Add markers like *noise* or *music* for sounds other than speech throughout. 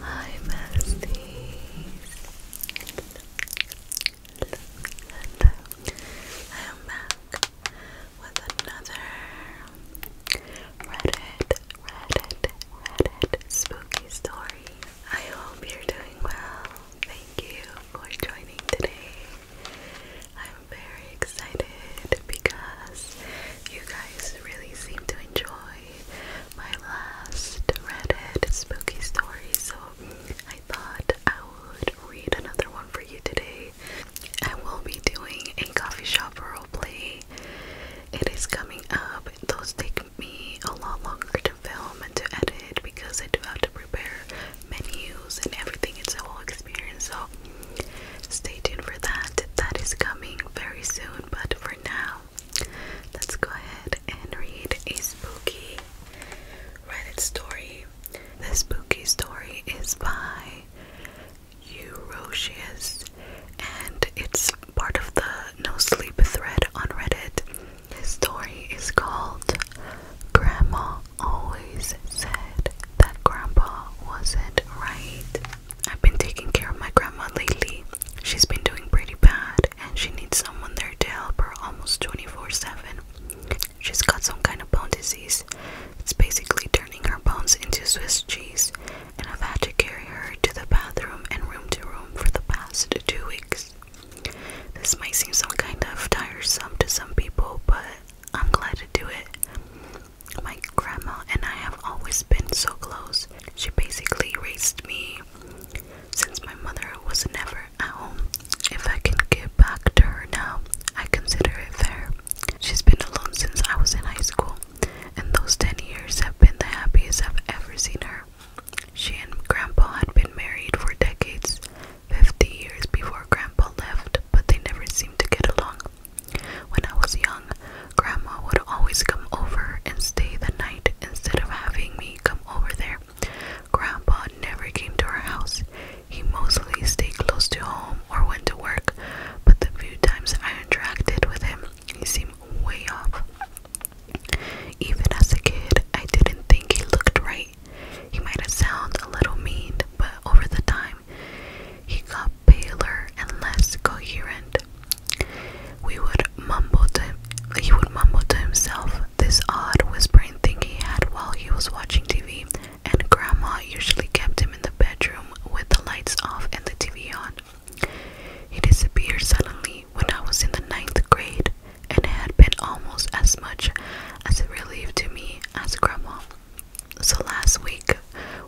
Hi, besties. I am back with another Reddit, Reddit, Reddit spooky story. I hope you're doing well. Thank you for joining today. I'm very excited because you guys really seem to enjoy my last Reddit spooky story, so I thought I would read another one for you today. I will be doing a coffee shop roleplay. It is coming up. Those take me a lot longer to film and to edit because I do have to prepare menus and everything. It's a whole experience. So Stay tuned for that. That is coming very soon, but for now, let's go ahead and read a spooky Reddit story. The spooky story is by Eurocious and it's part of the No Sleep thread on Reddit. This story is called Grandma Always Said That Grandpa Wasn't Right. I've been taking care of my grandma lately. She's been doing pretty bad and she needs someone there to help her almost 24 7. She's got some kind of bone disease. It's basically turning her bones into Swiss cheese, and I've had to carry her to the bathroom and room to room for the past two weeks. This might seem some kind of tiresome to some people, but I'm glad to do it my grandma and I have always been so close. She basically raised me since my mother was never at home. If I can give back to her now, I consider it fair. She's been alone since I was in high school, and those 10 years have been the happiest I've ever seen her. She and Grandpa had been married for decades, 50 years before Grandpa left, but they never seemed to get along. When I was young, Grandma would always come over and stay the night instead of having me come over there. Grandpa never came to our house. He mostly stayed close to home or went to work, but the few times I interacted with him, he seemed way off. Even as a kid, I didn't think he looked right. He might have sounded a little mean, but over the time, he got paler and less coherent. We would mumble to him, he would mumble to himself this odd whispering thing he had while he was watching TV, and Grandma usually kept him in the bedroom with the lights off and the TV on. He disappeared suddenly when I was in the ninth grade, and it had been almost as much as a relief to me as Grandma. So last week,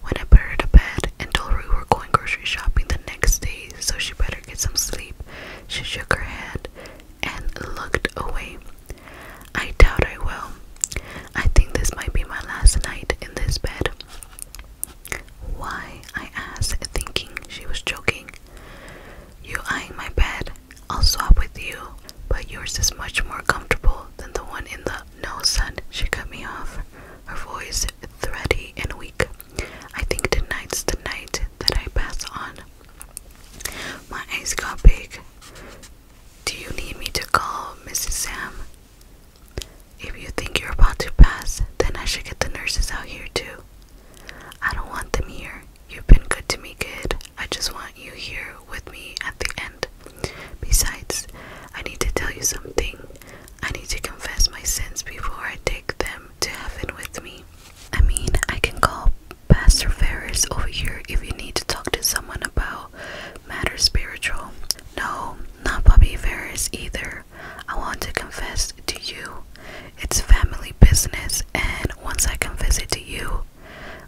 when I put her to bed and told her we were going grocery shopping the next day, so she better get some sleep, she shook her head and looked away. I doubt I will. I think this might be my last night in this bed. Why? I asked, thinking she was joking. You eyeing my bed? I'll swap with you, but yours is much more comfortable than the one in the. No, son, she cut me off her voice thready and weak. I think tonight's the night that I pass on. My eyes got big. Do you need me to call Mrs. Sam? If you think you're about to pass, then I should get the nurses out here too. I don't want them here. You've been good to me, kid. I just want you here with me at the end. Besides, I need to tell you something. I need to confess my sins before I take them to heaven with me. I mean, I can call Pastor Ferris over here if you need to talk to someone about matters spiritual. No, not Bobby Ferris either. I want to confess to you. It's family business, and once I confess it to you,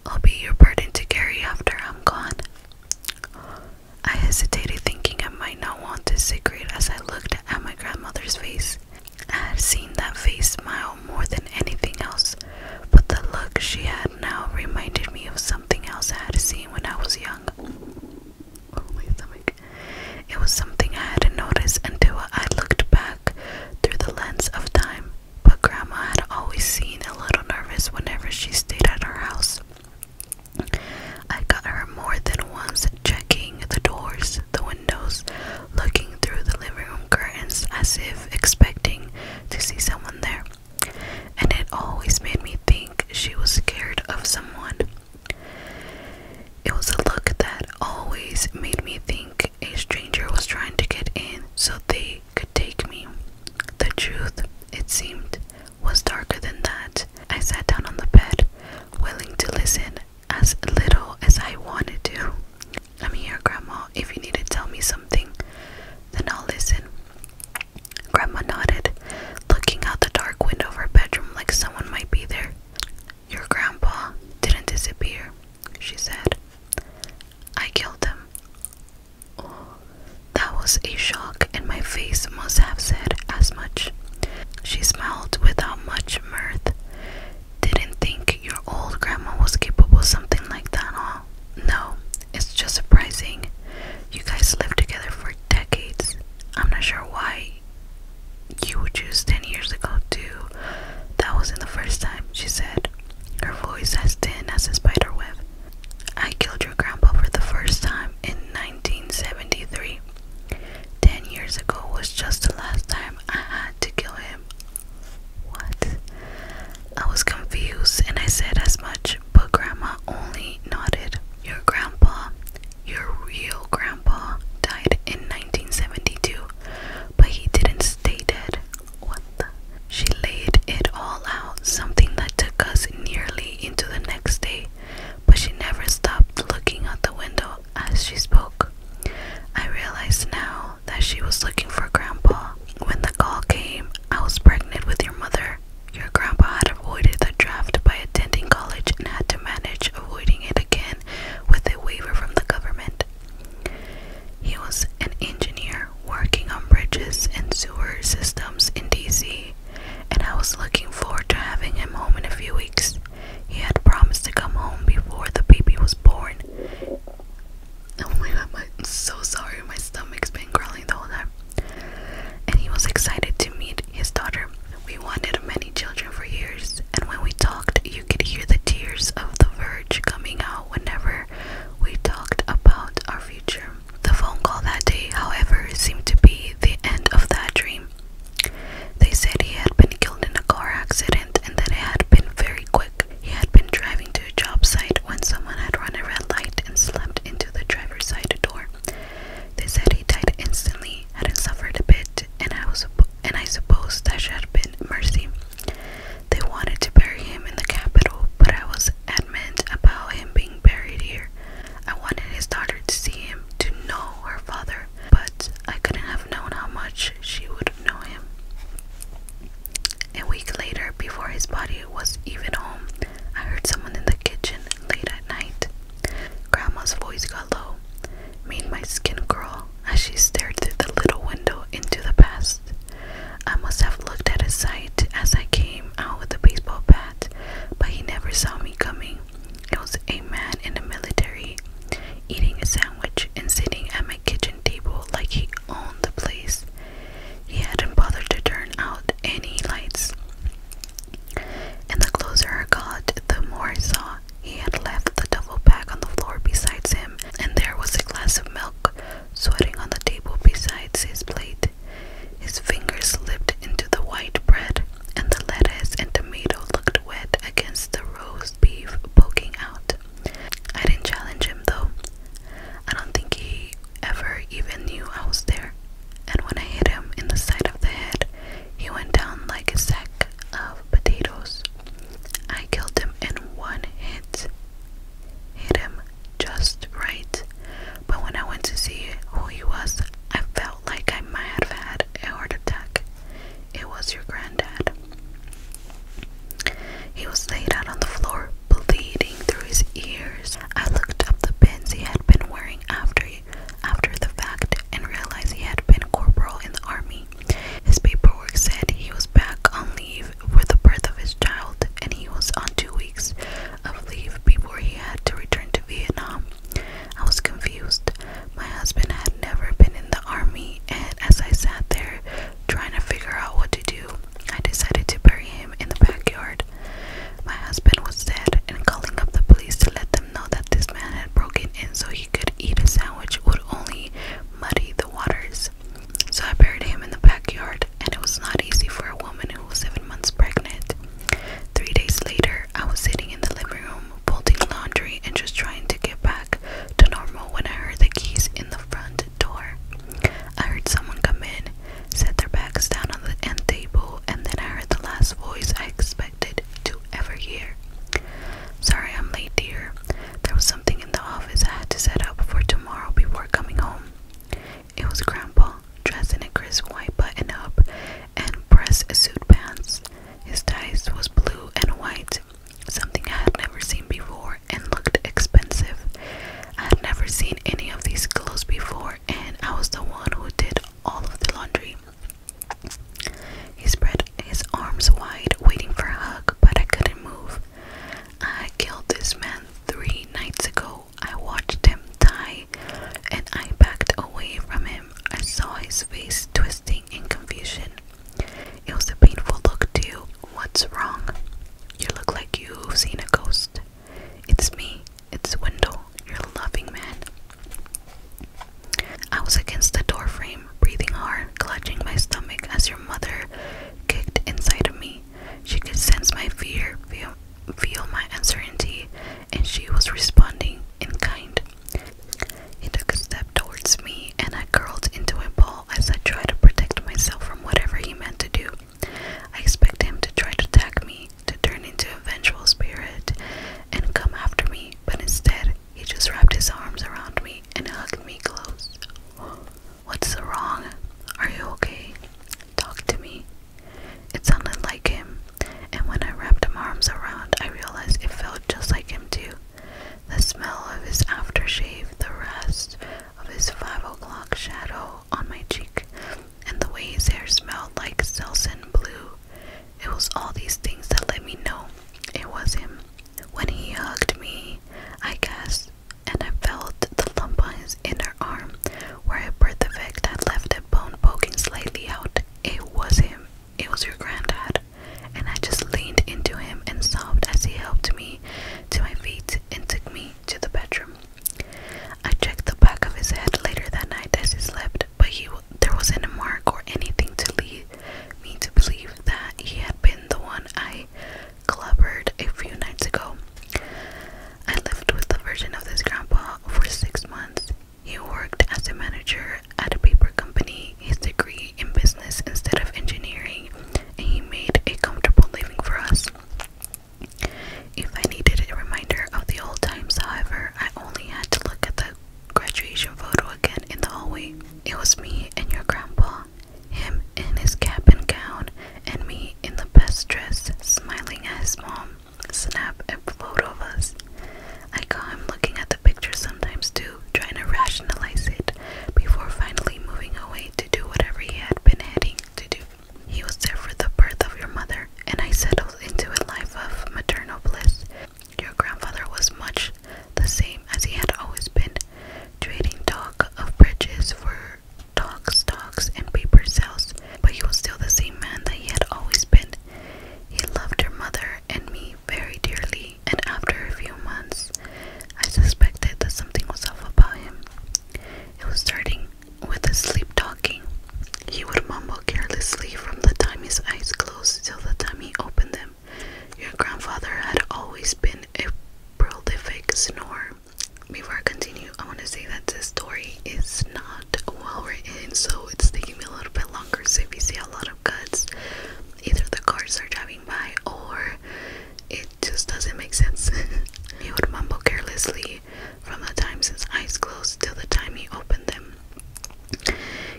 I'll be your burden to carry after I'm gone. I hesitated, thinking I might not want to this cigarette as I looked at my grandmother's face. I had seen that face smile more than anything else, but the look she had now reminded me of something else I had seen when I was young. Oh, stomach. It was something I hadn't noticed until I looked back through the lens of time, but Grandma had always seemed a little nervous whenever she stayed at our house. I got her more than once checking the doors, the windows, looking through the living room curtains as if expecting to see someone there. And it always made me think she was scared of someone. It was a look that always made me think a stranger was trying to get in so they could take me. The truth, it seemed, was darker than that. I sat down on the bed, willing to listen as little as I wanted to. I'm here, Grandma. If you need to tell me something, then I'll listen. Grandma nodded, looking out the dark window of her bedroom like someone might be there. Your grandpa didn't disappear, she said. I killed him. That was a shock, and my face must have said as much. She smiled without much mirth. Didn't think your old grandma was capable of something like that, huh? No, it's just surprising. You guys lived together for decades. I'm not sure why you would choose 10 years ago, too. That wasn't the first time, she said, her voice as thin as a spider web. I killed your grandpa for the first time in 1973. Ten years ago was just the last time I had to kill him. What? I was confused and I said as much, but Grandma only nodded. Your grandpa, your real grandpa, died in 1972, but he didn't stay dead. What She laid it all out, something that took us nearly into the next day, but she never stopped looking out the window as she spoke. I realized now that she was looking for Grandpa. When the call came, I was pregnant with your mother. Your grandpa had avoided the draft by attending college and had to manage avoiding it again with a waiver from the government. He was an engineer working on bridges and sewer systems in DC and I was looking forward to having him home in a few weeks. He had promised to come home before the baby was born. Oh my god, I'm so sorry, my stomach's been growling the whole time. And he was excited to meet his daughter. We wanted many children for years, and when we talked, you could hear the tears of the verge coming out whenever we talked about our future. The phone call that day, however, seemed to be the end of that dream. They said he had been killed in a car accident and that it had been very quick. He had been driving to a job site when someone had run a red light and slammed into the driver's side door. They said he died instantly, hadn't suffered a bit, and I was and I suppose that should have been mercy. They wanted to bury him in the capital, but I was adamant about him being buried here I wanted his daughter to see him, to know her father, but I couldn't have known how much she would know him. A week later, before his body was even home, I heard someone in the kitchen late at night. Grandma's voice got low, made my skin crawl as she stared through the little window into the past. I must have looked at a sight as I came out with the baseball bat but he never saw me coming. It was a man in the military eating a sandwich and sitting at my kitchen table like he owned the place. He hadn't bothered to turn out any lights. And the closer I got, the more I saw he had left the double bag on the floor besides him, and there was a glass of milk sweating on the table besides his plate. His fingers slipped into the white bread, and the lettuce and tomato looked wet against the roast beef poking out. I didn't challenge him though. I don't think he ever even knew I was there. And when I hit him in the side of the head, he went down like a sack of potatoes. I killed him in one hit. Hit him just right. But when I went to see who he was, I felt like I might have had a heart attack. It was your granddad. He was laid out on the floor, bleeding through his ears. I looked up the pins he had been wearing after after the fact and realized he had been corporal in the army. His paperwork said he was back on leave for the birth of his child and he was on two weeks of leave before he had to return to Vietnam. I was confused. My husband had never been in the army, and as I sat there trying to figure out what to do, I decided to bury him in the backyard. My husband was dead, and calling up the police to let them know that this man had broken in so he could eat a sandwich would only muddy the waters. So I buried him in the backyard and it was not easy for a woman who was seven months pregnant. Three days later, I was sitting in the living room, folding laundry and just trying to get back to normal when I heard the keys in the front door. I heard someone come in, set their bags down on the end table, and then I heard the last voice I expected to ever hear. Sorry I'm late, dear. There was something in the office I had to set up for tomorrow before coming home. It was Grandpa, dressed in a crisp white button up and pressed suit pants. His ties was blue and white, something I had never seen before and looked expensive. I had never seen any of these clothes before, and I was the one who did all of the laundry. He spread his arms wide, waiting for a hug, but I couldn't move. I killed this man three nights ago I watched him die and I backed away from him. I saw his face twisting in confusion. It was a painful look, too. What's wrong? You look like you've seen a ghost. It's me. It's Wendell, your loving man. I was against the doorframe, breathing hard, clutching my stomach as your mother kicked inside of me. She could sense my fear, feel my uncertainty, and she was responding in kind. He took a step towards me, and I curled into a ball as I tried to protect myself from whatever he meant to do. I expect him to try to attack me, to turn into a vengeful spirit, and come after me, but instead, he just wrapped his arms around me and hugged me close. *gasps* What's wrong? Are you okay? talk to me. It sounded like him, and when I wrapped my arms around, I realized it felt just like him too. The smell of his aftershave, the rest of his five o'clock shadow on my cheek, and the way his hair smelled like Selsun blue. It was all these things that let me know it was him. When he hugged me, I guess and I felt the lump on his inner arm where I birthed the fact that left a bone poking slightly out. It was him. It was your granddad. And I just leaned into him and sobbed as he helped me to my feet and took me to the bedroom. I checked the back of his head later that night as he slept, but he there wasn't a mark or anything to lead me to believe that he had been the one I clubbered a few nights ago. I lived with the version of this grandpa for six months. He worked as a manager at a paper company, his degree in business instead of engineering, and he made a comfortable living for us. If I needed a reminder of the old times, however, I only had to look at the graduation photo again in the hallway. It was me and your grandpa, him in his cap and gown, and me in the best dress, smiling at his mom, snap a photo of us. I caught him looking at the picture sometimes too, trying to rationalize it, before finally moving away to do whatever he had been heading to do. He was there for the birth of your mother, and I settled into a life of maternal bliss. Your grandfather was much the same as he had always been, trading talk of bridges for paper talk and paper sales, but he was still the same man that he had always been. He loved your mother and me very dearly, and after a few months, I suspected that something was off about him. It was starting with his sleep talking. He would mumble carelessly from the time his eyes closed till the time he opened them. Your grandfather had always been a prolific snorer before I continue, I want to say that this story is not well written, so it's taking me a little bit longer. So if you see a lot of cuts, either the cars are driving by or it just doesn't make sense. he *laughs* would mumble carelessly from the time his eyes closed till the time he opened them.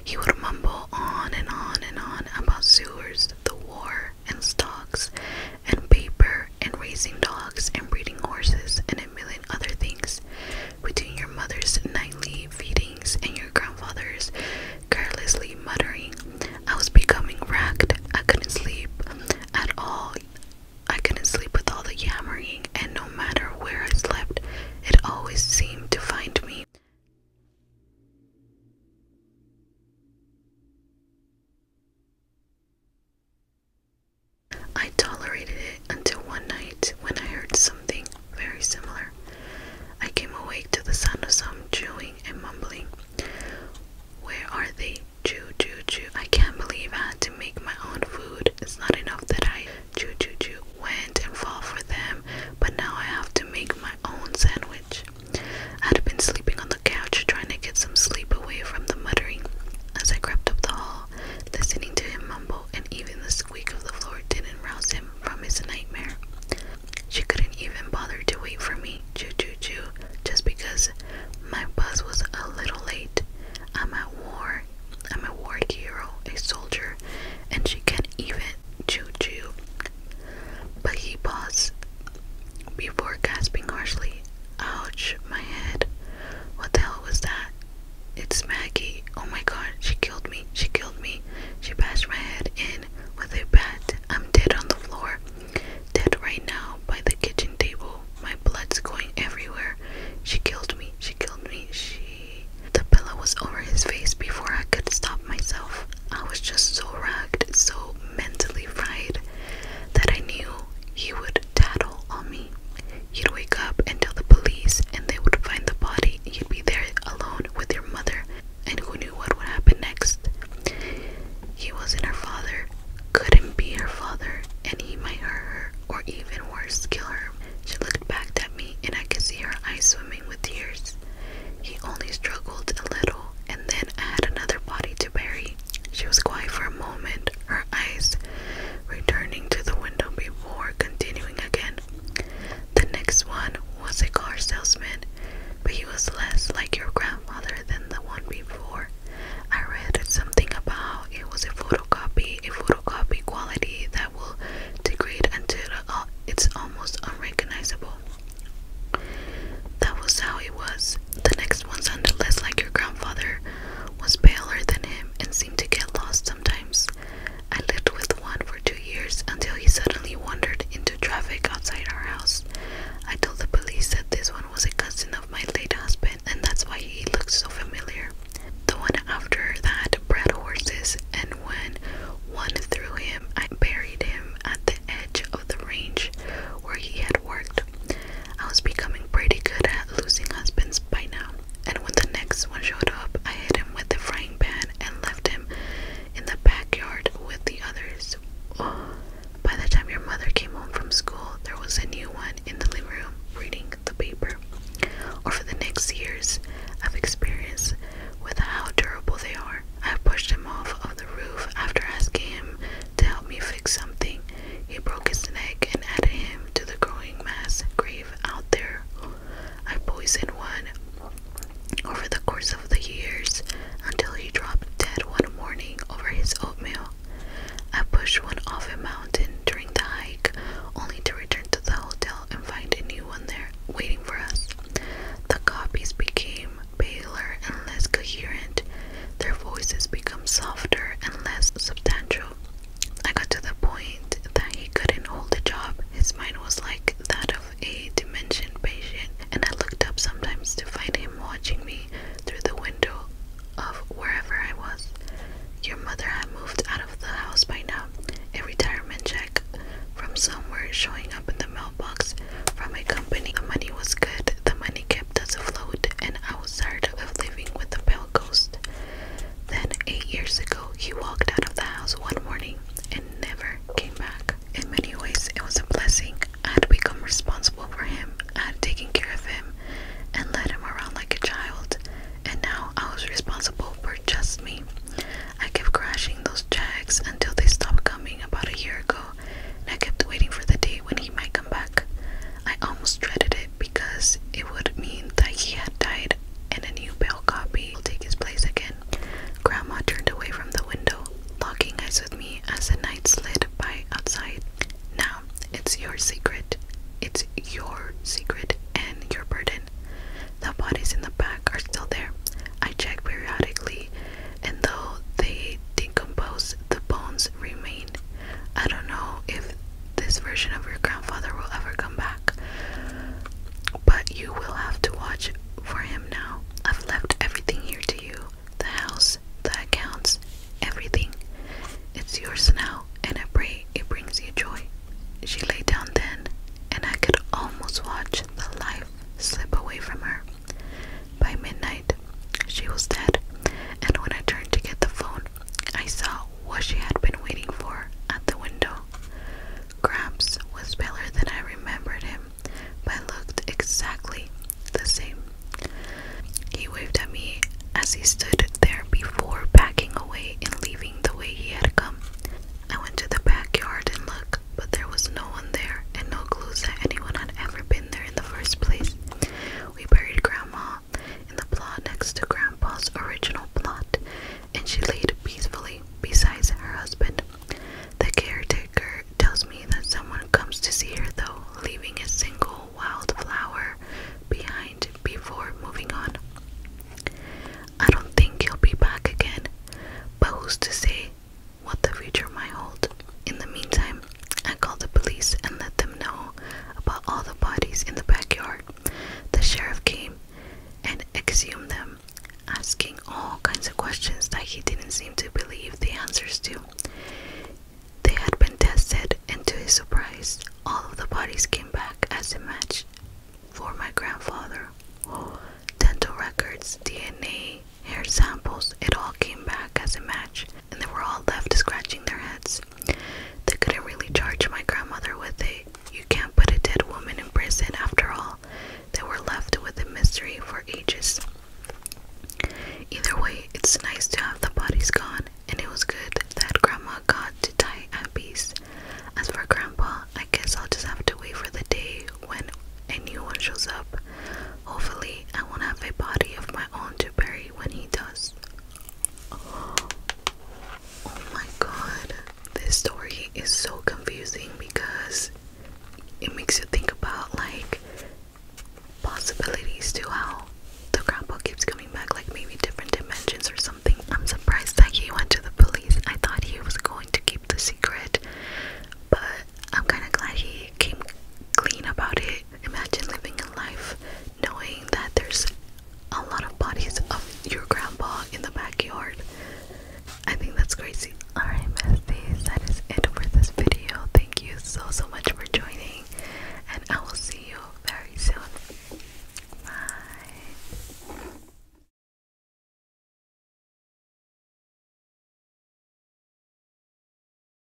He would mumble on and on and on about sewers, the war, and stocks, and paper and raising dogs and breeding horses and a million other things, between your mother's nightly feedings and your grandfather's carelessly muttering, I was becoming racked. I couldn't sleep at all. I couldn't sleep with all the yammering, and no matter where I slept, it always seemed to find me. I tolerated it until one night when I heard something very similar. I came awake to the sound of some chewing and mumbling. Where are they? Chew, chew, chew. I can't believe I had to make my own food. It's not enough that I chew, chew, chew went and fought for them, but now I have to make my own sandwich. I had been sleeping on the couch, trying to get some sleep away from the muttering. As I crept up the hall, listening to him mumble, and even the squeak of the floor didn't rouse him from his nightmare. She couldn't even bother to wait for me, choo choo choo, just because my buzz was a little late. I'm a war. I'm a war hero, a soldier, and she can even choo choo. But he paused before gasping harshly, Ouch, my head. What the hell was that? It's Maggie. Oh my god, she killed me. She killed me. She bashed my head in with a bat. I'm dead on the floor. Dead right now by the kitchen table. My blood's going everywhere. She killed me. She killed me. She. The pillow was over his face before I could stop myself. I was just so ragged, so mentally fried that I knew he would tattle on me. You'd wake up and tell the police, and they would find the body. You'd be there alone with your mother, and who knew what would happen next? He wasn't her father, couldn't be her father, and he might hurt her, or even worse, kill her. She looked back at me, and I could see her eyes swimming with tears. He only struggled a little, and then I had another body to bury she was quiet for a moment, her eyes returning to the window before continuing again. The next one was a car salesman, but he was less like your grandfather than the one before. I read something about it was a photocopy, a photocopy quality that will degrade until uh, it's almost unrecognizable. That was how it was. The next one on the list, like your grandfather, was paler than him and seemed to get lost sometimes. I lived with one for two years until he suddenly wandered into traffic outside our house. I told the police that this one was a cousin of my late husband and that's why he looked so familiar. The one after that bred horses, and when one threw him, I buried him at the edge of the range where he had worked. I was becoming pretty good at losing husbands by now, and when the next one showed up, I hit him with the frying pan and left him in the backyard with the others. *sighs* By the time your mother came home from school, there was a new one in the living room reading the paper. Over the next years, of experience with how durable they are. I pushed him off of the roof after asking him to help me fix something. He broke his neck and added him to the growing mass grave out there. I poisoned one over the course of the years until he dropped dead one morning over his oatmeal. I pushed one off a mountain during the hike, only to return to the hotel and find a new one there waiting for us. The copies became paler and less coherent their voices become softer and less substantial. I got to the point that he couldn't hold a job. His mind was like that of a dementia patient, and I looked up sometimes to find him watching me through the window of wherever I was. Your mother had moved out of the house by now. A retirement check from somewhere showing up in the mailbox from a company. The money was good, the money kept us afloat, and I was tired of living with the pale ghost. Then, eight years ago, he walked out of the house one morning and never came back. In many ways, it was a blessing. I had become responsible for him, I had taken care of him, and led him around like a child, and now I was responsible for just me. I kept crashing those checks until they stopped coming about a year ago. I kept waiting for the day when he might come back. I almost dreaded it because it would mean that he had died and a new bail copy will take his place again. Grandma turned away from the window, locking eyes with me as the night slid by outside. Now, it's your secret. It's your secret and your burden. The bodies in the back are still there. I check periodically, and though they decompose, the bones remain I don't know if this version of your grandfather will ever come back, but you will have to watch for him now. I've left everything here to you the house, the accounts, everything. It's yours now, and I pray it brings you joy. She lay down then, and I could almost watch the life slip away from her. By midnight, she was dead, and when I turned to get the phone, I saw what she had been waiting for at the window. Gramps was paler than I remembered him, but looked exactly the same. He waved at me as he stood there before packing away and leaving the way he had come. I went to the backyard and looked, but there was no one there and no clues that anyone had ever been there in the first place we buried Grandma in the plot next to Grandpa's original plot, and she laid peacefully beside her husband. The caretaker tells me that someone comes to see her, though, leaving a single wildflower behind before moving on. I don't think he'll be back again, but who's to say what the future might hold? In the meantime, I called the police and let them know about all the bodies in the backyard. The sheriff came and exhumed them, asking all kinds of questions that he didn't seem to believe the answers to. They had been tested, and to his surprise, all of the bodies came back as a match for my grandfather. Dental records, DNA, hair samples, it all came back as a match and they were all left scratching their heads. They couldn't really charge my grandmother with a you can't put a dead woman in prison after all. They were left with a mystery for ages. Either way, it's nice to have the bodies gone, and it was good that Grandma got to die at peace. As for Grandpa, I guess I'll just have to wait for the day when a new one shows up. Hopefully, I won't have a body of my own to bury when he does. Oh, oh my god. This story is so confusing because it makes you think about like possibilities to how the grandpa keeps coming back, like maybe different dimensions or something. I'm surprised that he went to the police. I thought he was going to keep the secret, but I'm kind of glad he came clean about it. Imagine living a life knowing that there's a lot of bodies of your grandpa in the backyard. I think that's crazy. Alright, besties, that is it for this video. Thank you so, so much for joining, and I will see you very soon. Bye.